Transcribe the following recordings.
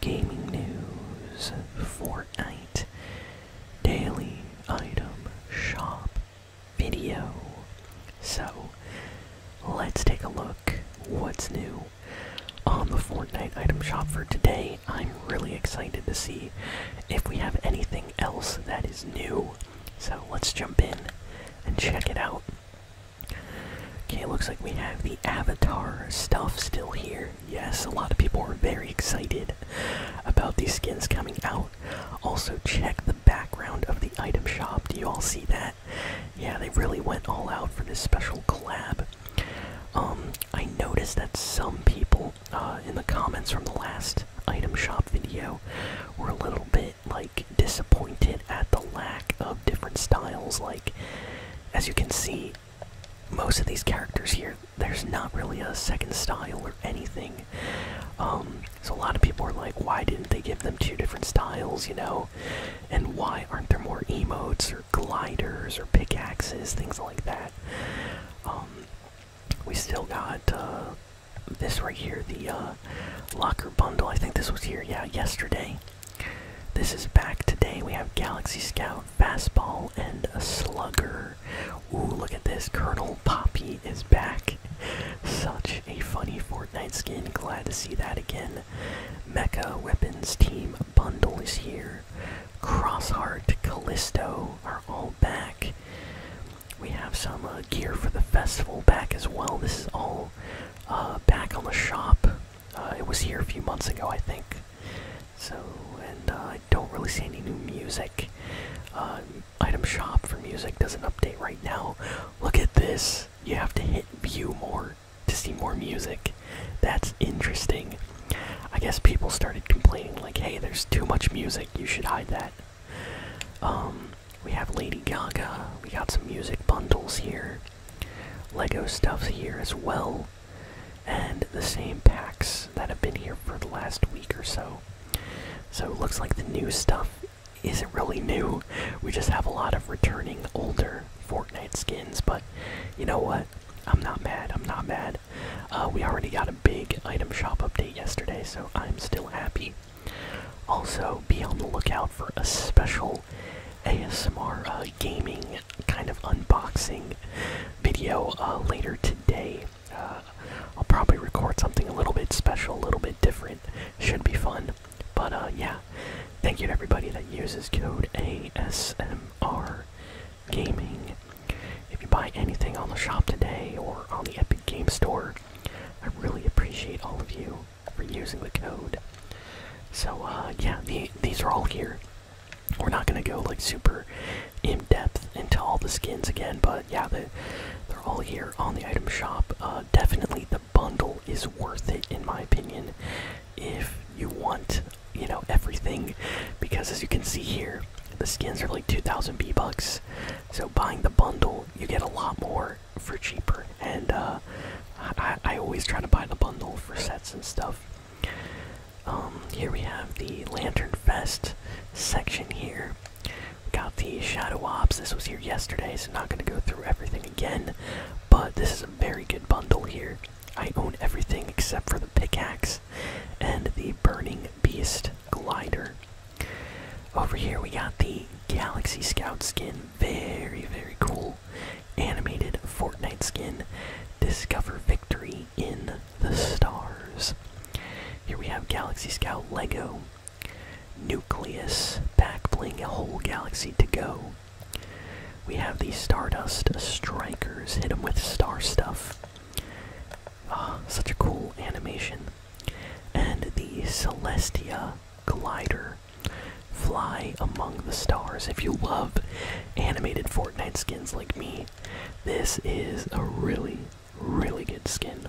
Gaming news, Fortnite, daily item shop video. So, let's take a look what's new on the Fortnite item shop for today. I'm really excited to see if we have anything else that is new. So, let's jump in and check it out. Okay, looks like we have the Avatar stuff still here. Yes, a lot of people are very excited about these skins coming out. Also, check the background of the item shop. Do you all see that? Yeah, they really went all out for this special collab. Um, I noticed that some people uh, in the comments from the last item shop video were a little bit like disappointed at the lack of different styles. Like, as you can see, most of these characters here, there's not really a second style or anything. Um, so a lot of people are like, why didn't they give them two different styles, you know? And why aren't there more emotes or gliders or pickaxes, things like that? Um, we still got uh, this right here, the uh, locker bundle. I think this was here, yeah, yesterday. This is back today. We have Galaxy Scout, Fastball, and a Slugger. Ooh, look at this. Colonel Poppy is back. Such a funny Fortnite skin. Glad to see that again. Mecha Weapons Team Bundle is here. Crossheart, Callisto are all back. We have some uh, gear for the festival back as well. This is all uh, back on the shop. Uh, it was here a few months ago, I think. So, and I don't really see any new music. item shop for music doesn't update right now. Look at this. You have to hit view more to see more music. That's interesting. I guess people started complaining like, hey, there's too much music. You should hide that. Um, we have Lady Gaga. We got some music bundles here. Lego stuffs here as well. And the same packs that have been here for the last week or so. So it looks like the new stuff isn't really new. We just have a lot of returning older Fortnite skins, but you know what? I'm not mad. I'm not mad. Uh, we already got a big item shop update yesterday, so I'm still happy. Also, be on the lookout for a special ASMR uh, gaming kind of unboxing video uh, later today. Uh, I'll probably record something a little bit special, a little bit different. Should be fun. But yeah, thank you to everybody that uses code ASMR Gaming. If you buy anything on the shop today or on the Epic Game Store, I really appreciate all of you for using the code. So, uh, yeah, these are all here. We're not gonna go like super in depth into all the skins again, but yeah, they're all here on the item shop. Uh, definitely the bundle is worth it, in my opinion, if you want, you know, everything, because as you can see here, the skins are like 2,000 B bucks. So buying the bundle, you get a lot more for cheaper. And uh, I, always try to buy the bundle for sets and stuff. Um, here we have the Lantern Fest section here. We got the Shadow Ops. This was here yesterday, so I'm not going to go through everything again. But this is a very good bundle here. I own everything except for the pickaxe and the Burning Beast Glider. Over here we got the Galaxy Scout skin. Very, very cool. Animated Fortnite skin. Discover victory in the stars. Here we have Galaxy Scout Lego. Nucleus back bling a whole galaxy to go. We have the Stardust Strikers. Hit them with star stuff. Ah, such a cool animation. And the Celestia glider. Fly among the stars. If you love animated Fortnite skins like me, this is a really, really good skin.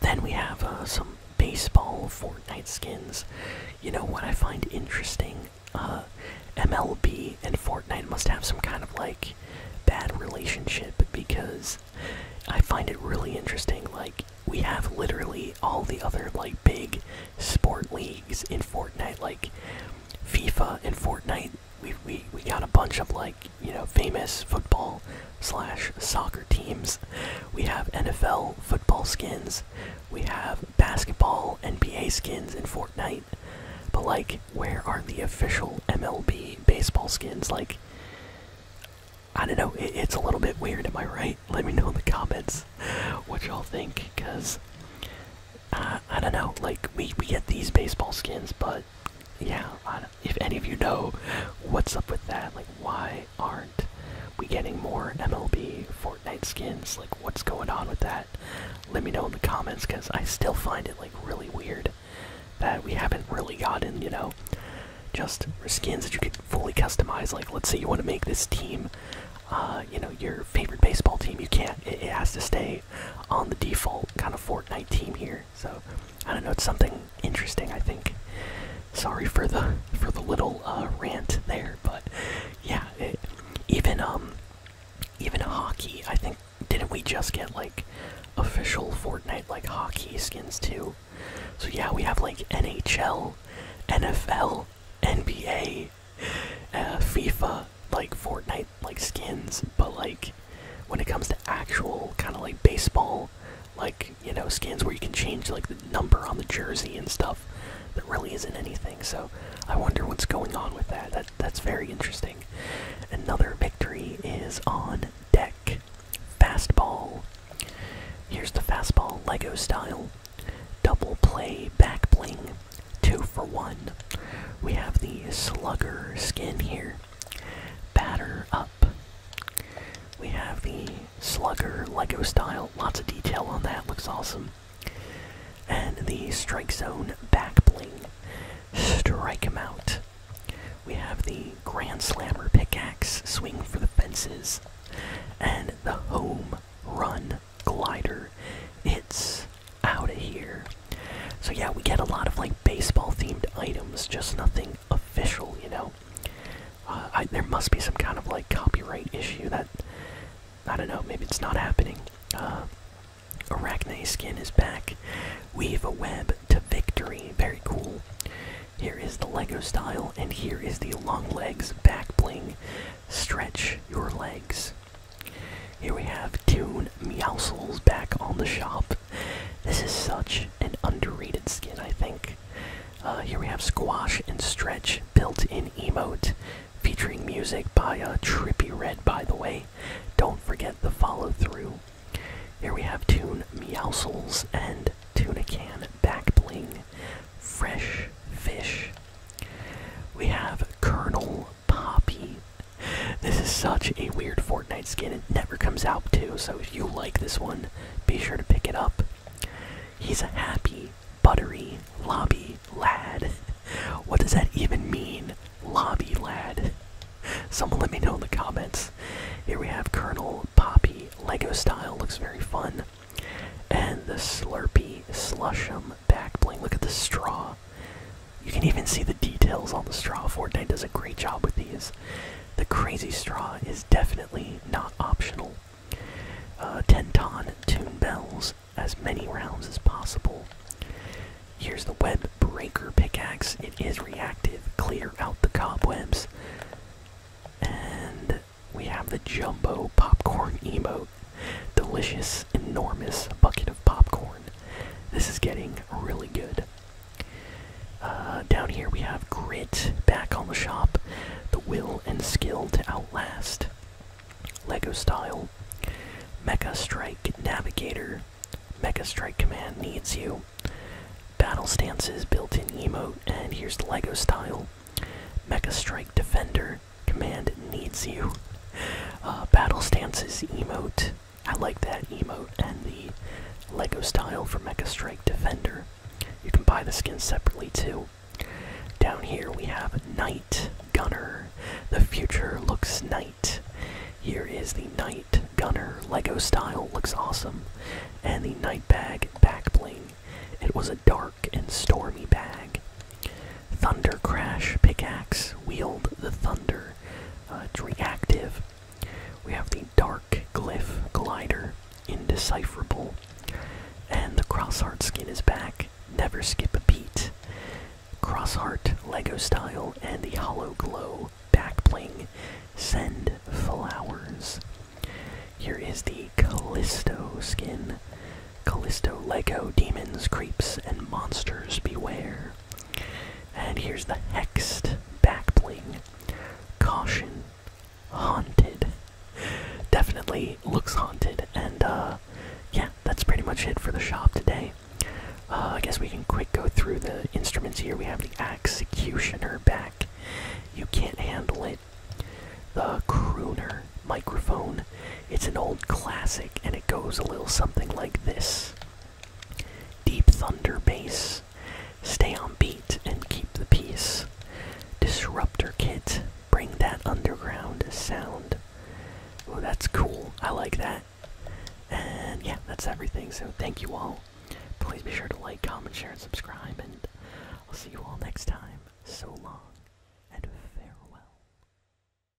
Then we have uh, some baseball Fortnite skins. You know what I find interesting uh, MLB and Fortnite must have some kind of like bad relationship because I find it really interesting. Like, we have literally all the other like big sport leagues in Fortnite, like FIFA and Fortnite. We, we, we got a bunch of like, you know, famous football slash soccer teams. We have NFL football skins. We have basketball NBA skins and Fortnite, but like, where are the official MLB baseball skins? Like, I don't know, it's a little bit weird, am I right? Let me know in the comments what y'all think, because uh, I don't know, like, we, we get these baseball skins, but yeah, if any of you know what's up with that, like, why aren't we getting more MLB for Fortnite skins? Like, what's going on with that? Let me know in the comments because I still find it like really weird that we haven't really gotten, you know, just skins that you could fully customize. Like, let's say you want to make this team, uh, you know, your favorite baseball team. You can't. It, has to stay on the default kind of Fortnite team here. So, I don't know. It's something interesting, I think. Sorry for the for the little uh, rant there, but yeah, even um, even hockey. I think didn't we just get like official Fortnite like hockey skins too? So yeah, we have like NHL, NFL, NBA, uh, FIFA, like Fortnite like skins. But like when it comes to actual kind of like baseball, like you know skins where you can change like the number on the jersey and stuff. that really isn't anything, so I wonder what's going on with that. That that's very interesting. Another victory is on deck. Fastball. Here's the fastball Lego style. Double play back bling. Two for one. We have the slugger skin here. Batter up. We have the Slugger Lego style, lots of detail on that, looks awesome. And the Strike Zone back bling, strike him out. We have the Grand Slammer pickaxe, swing for the fences, and the Home Run glider. It's out of here. So yeah, we get a lot of like baseball themed items, just nothing official, you know. Uh, there must be some kind of like copyright issue that I don't know. Maybe it's not happening. Uh, Arachne skin is back. Weave a web to victory. Very cool. Here is the Lego style, and here is the long legs back bling. Stretch your legs. Here we have Tune Meowsles back on the shop. This is such an underrated skin, I think. Uh, here we have Squash and Stretch built-in emote featuring music by uh, Trippy Red, by the way. Don't forget the follow-through. Here we have Tune Meowsles and Tuna Can Back Bling. Fresh Fish. We have Colonel Poppy. This is such a weird Fortnite skin. It never comes out, too, so if you like this one, be sure to pick it up. He's a happy, buttery, lobby lad. What does that even mean? Lobby lad. Someone let me know in the comments. Here we have Colonel Poppy, Lego style, looks very fun. And the Slurpee Slushum back bling. Look at the straw. You can even see the details on the straw. Fortnite does a great job with these. The Crazy Straw is definitely not optional. Uh, Tenton tune bells as many rounds as possible. Here's the Web Breaker pickaxe. It is reactive. Clear out the cobwebs. And we have the Jumbo Popcorn emote. Delicious, enormous bucket of popcorn. This is getting really good. Uh, down here we have Grit back on the shop. The will and skill to outlast. Lego style. Mecha Strike Navigator. Mecha Strike Command needs you. Battle stances built in emote, and here's Lego style. Mecha Strike Defender Command needs you. Uh, battle stances emote. I like that emo and the Lego style for Mecha Strike Defender. You can buy the skins separately too. Down here we have Knight Gunner. The future looks Knight. Here is the Knight Gunner Lego style, looks awesome. And the Knight Bag back bling. It was a dark and stormy bag. Thunder Crash pickaxe, wield the thunder. Uh, it's reactive. We have the Dark Glyph Glider, Indecipherable. And the Crossheart skin is back, Never Skip a Beat. Crossheart, Lego style, and the Hollow Glow back bling. Send Flowers. Here is the Callisto skin. Callisto Lego Demons, Creeps, and Monsters Beware. And here's the hexed backbling. Caution. Haunted. Definitely looks haunted. And uh, yeah, that's pretty much it for the shop today. Uh, I guess we can quick go through the instruments here. We have the executioner back. You can't handle it. The crooner microphone. It's an old classic and it goes a little something like this. Deep thunder bass. Stay on beat and keep the peace. Disruptor kit. Bring that underground sound. Oh, that's cool. I like that. And yeah, that's everything. So thank you all. Please be sure to like, comment, share, and subscribe. And I'll see you all next time. So long and farewell.